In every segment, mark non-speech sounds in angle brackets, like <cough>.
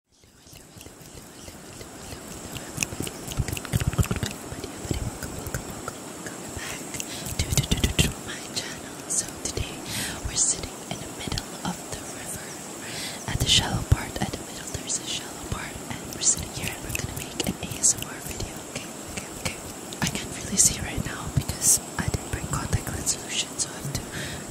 welcome back to my channel. So today we're sitting in the middle of the river. At the shallow part, at the middle there's a shallow part and we're sitting here and we're gonna make an ASMR video. Okay, okay, okay. I can't really see right now because I didn't bring contact lens solution motion, so I have to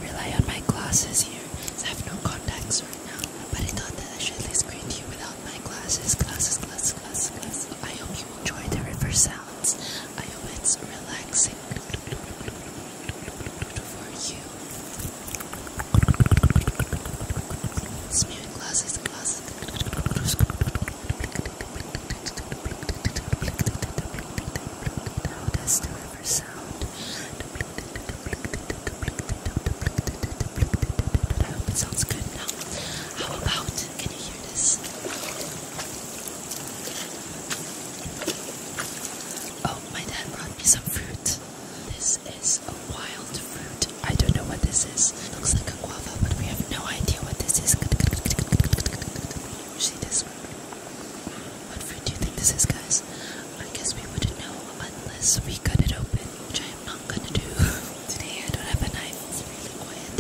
rely on my glasses here. So I have no contacts right now. But I thought that I should at least greet you without my glasses. Glasses, glasses, glasses, glasses. I hope you enjoy the river sounds. I hope it's relaxing for you. Smearing glasses, glasses. How does the river I hope it sounds good now. How about, can you hear this? Oh, my dad brought me some fruit. This is a wild fruit. I don't know what this is. looks like a guava, but we have no idea what this is. Usually this what fruit do you think this is, guys? I guess we wouldn't know unless we cut it open, which I am not gonna do. <laughs> Today I don't have a knife. really quiet,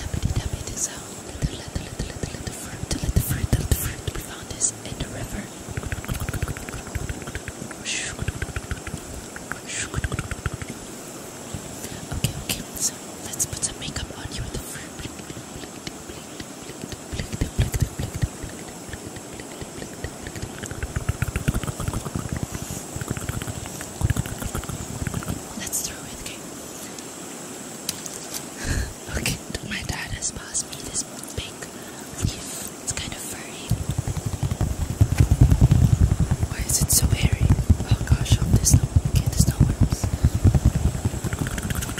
let's put some makeup on you with the fruit. Let's throw it, okay? <laughs> okay, my dad has passed me this big leaf. It's kind of furry. Why is it so hairy? Oh gosh, hope oh, there's no, okay, there's no worms.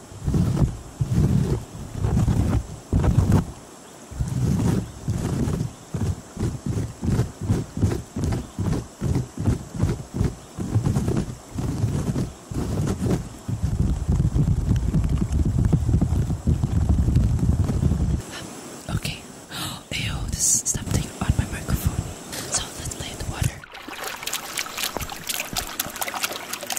Okay. <gasps> Ew, this is something on my microphone. So let's play in the water.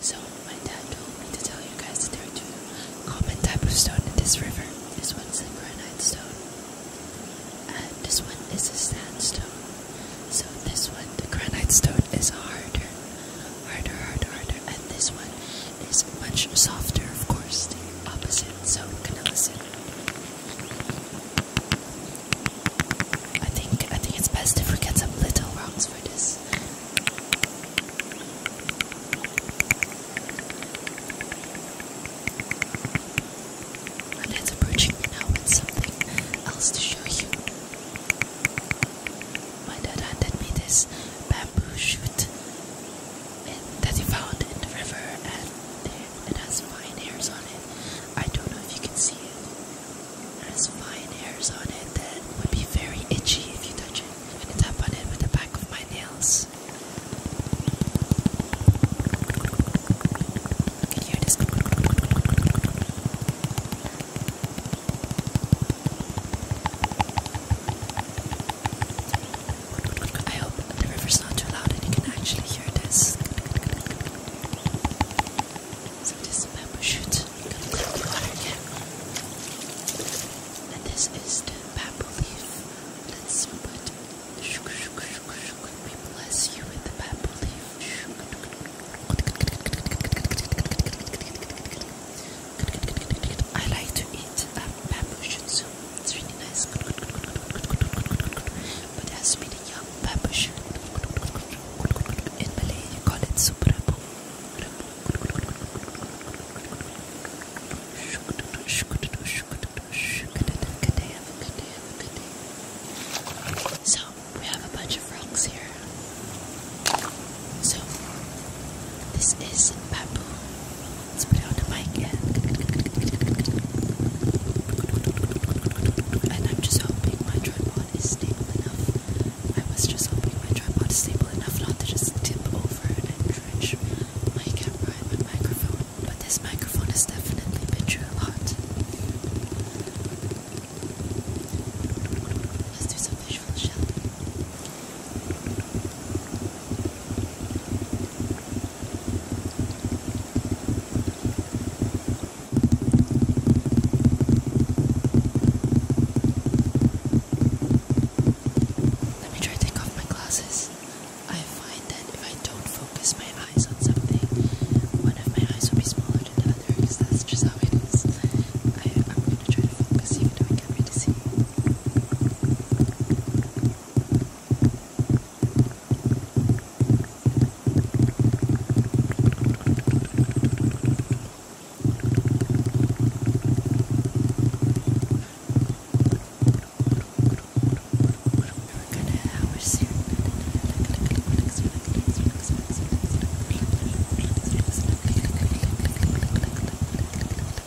So, my dad told me to tell you guys there are two common type of stone in this river. This one's the granite stone, and this one is a sandstone. So, this one, the granite stone, is harder, harder, harder, harder, and this one is much softer, of course, the opposite. So, can you listen? I think I think it's best if we get some little rocks for this. And it's approaching now with something else to show you. My dad handed me this bamboo shoot that he found in the river, and it has fine hairs on it. I don't know if you can see it. It has fine hairs on it that would be very itchy if you touch it. I'm gonna tap on it with the back of my nails. You hear this. I hope the river's not too loud and you can actually hear this. So this bamboo shoot going water again. And this is the bamboo leaf. Let's put I like to eat a bamboo shoot soup it's really nice. But it has to be the young babush. In Malay, call it super So, we have a bunch of rocks here. So, this is bamboo. Let's put it on the mic and, and I'm just hoping my tripod is stable enough. I was just hoping my tripod is stable enough not to just tip over and drench my camera and my microphone. But this microphone has definitely been through a lot. Let's do some visual, shall let me try to take off my glasses. I find that if I don't focus my eyes on something, one of my eyes will be smaller than the other because that's just how it is. I, am going to try to focus even though happy to see you. We're gonna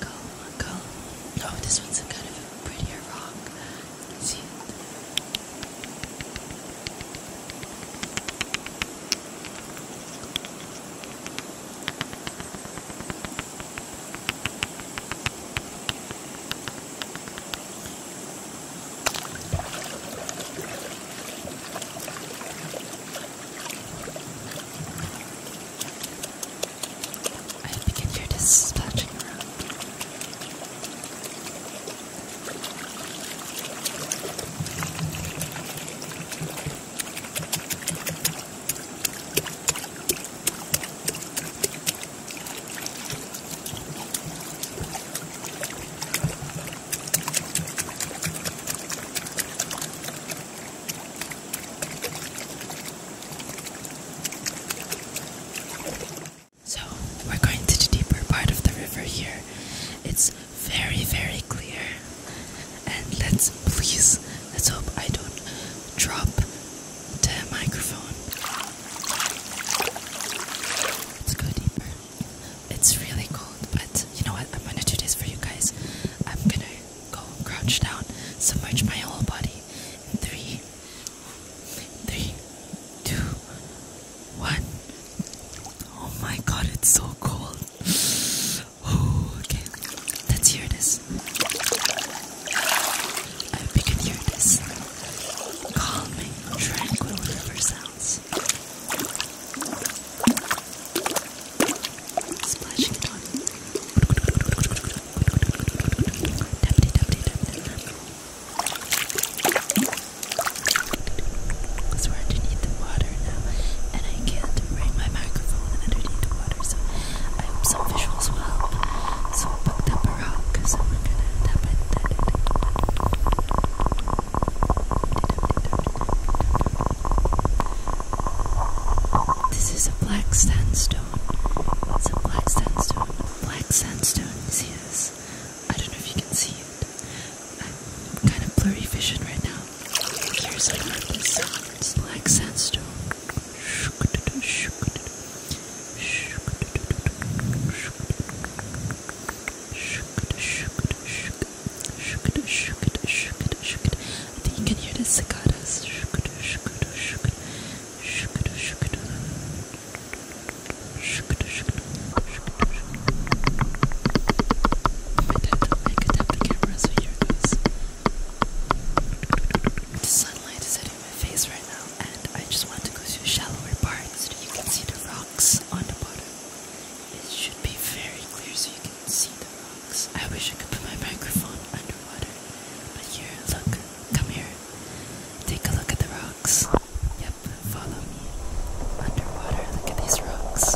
go, go. Oh, this one's a kind of prettier rock. see. I think if you're just splashing around. I so we're going to the deeper part of the river here. It's very, very clear. And let's please, let's hope I don't drop the microphone. Let's go deeper. It's really cold, but you know what? I'm gonna do this for you guys. I'm gonna go crouch down, submerge my whole body. In three, three, two, one. Oh my god, it's so cold. Oh, okay, let's hear this. I hope you can hear this. Calming, tranquil river sounds. Splashing it on. Deputy, deputy, deputy. So we're underneath the water now, and I can't bring my microphone underneath the water, so I hope some visuals will help. So I picked up a rock, so we're gonna tap it. Tap it, tap it, tap it, tap it. This is a black sandstone. It's a black sandstone. Black sandstone. See this? I don't know if you can see it. I'm kind of blurry vision right now. Here's how I this. black sandstone shook it, shook it, shook it, shook it. I think you can hear the cicadas. Shook it, shook it, shook it, shook it, shook it, shook it, shook it, I could tap the camera, so here it goes. The sunlight is hitting my face right now, and I just want to go to a shallower part so that you can see the rocks on the bottom. It should be very clear so you can see the rocks. I wish I could put my microphone underwater. But here, look. Come here. Take a look at the rocks. Yep, follow me. Underwater, look at these rocks.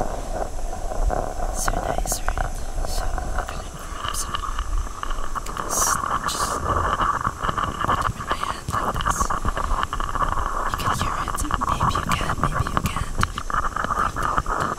So nice, right? So i Look at Just put them in my hand like this. You can hear it. Maybe you can, maybe you can't.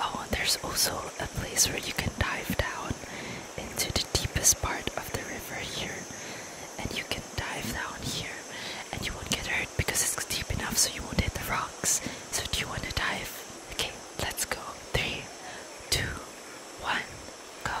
Oh, there's also a place where you can dive down into the deepest part of the river here. And you can dive down here and you won't get hurt because it's deep enough so you won't hit the rocks. So, do you want to dive? Okay, let's go. Three, two, one, go.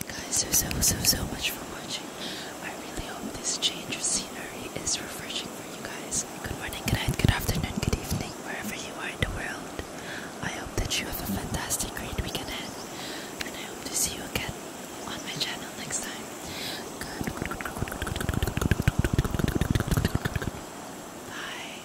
You guys are so so so much for watching. I really hope this change of scenery is refreshing for you guys. Good morning, good night, good afternoon, good evening, wherever you are in the world. I hope that you have a fantastic great weekend And I hope to see you again on my channel next time. Bye.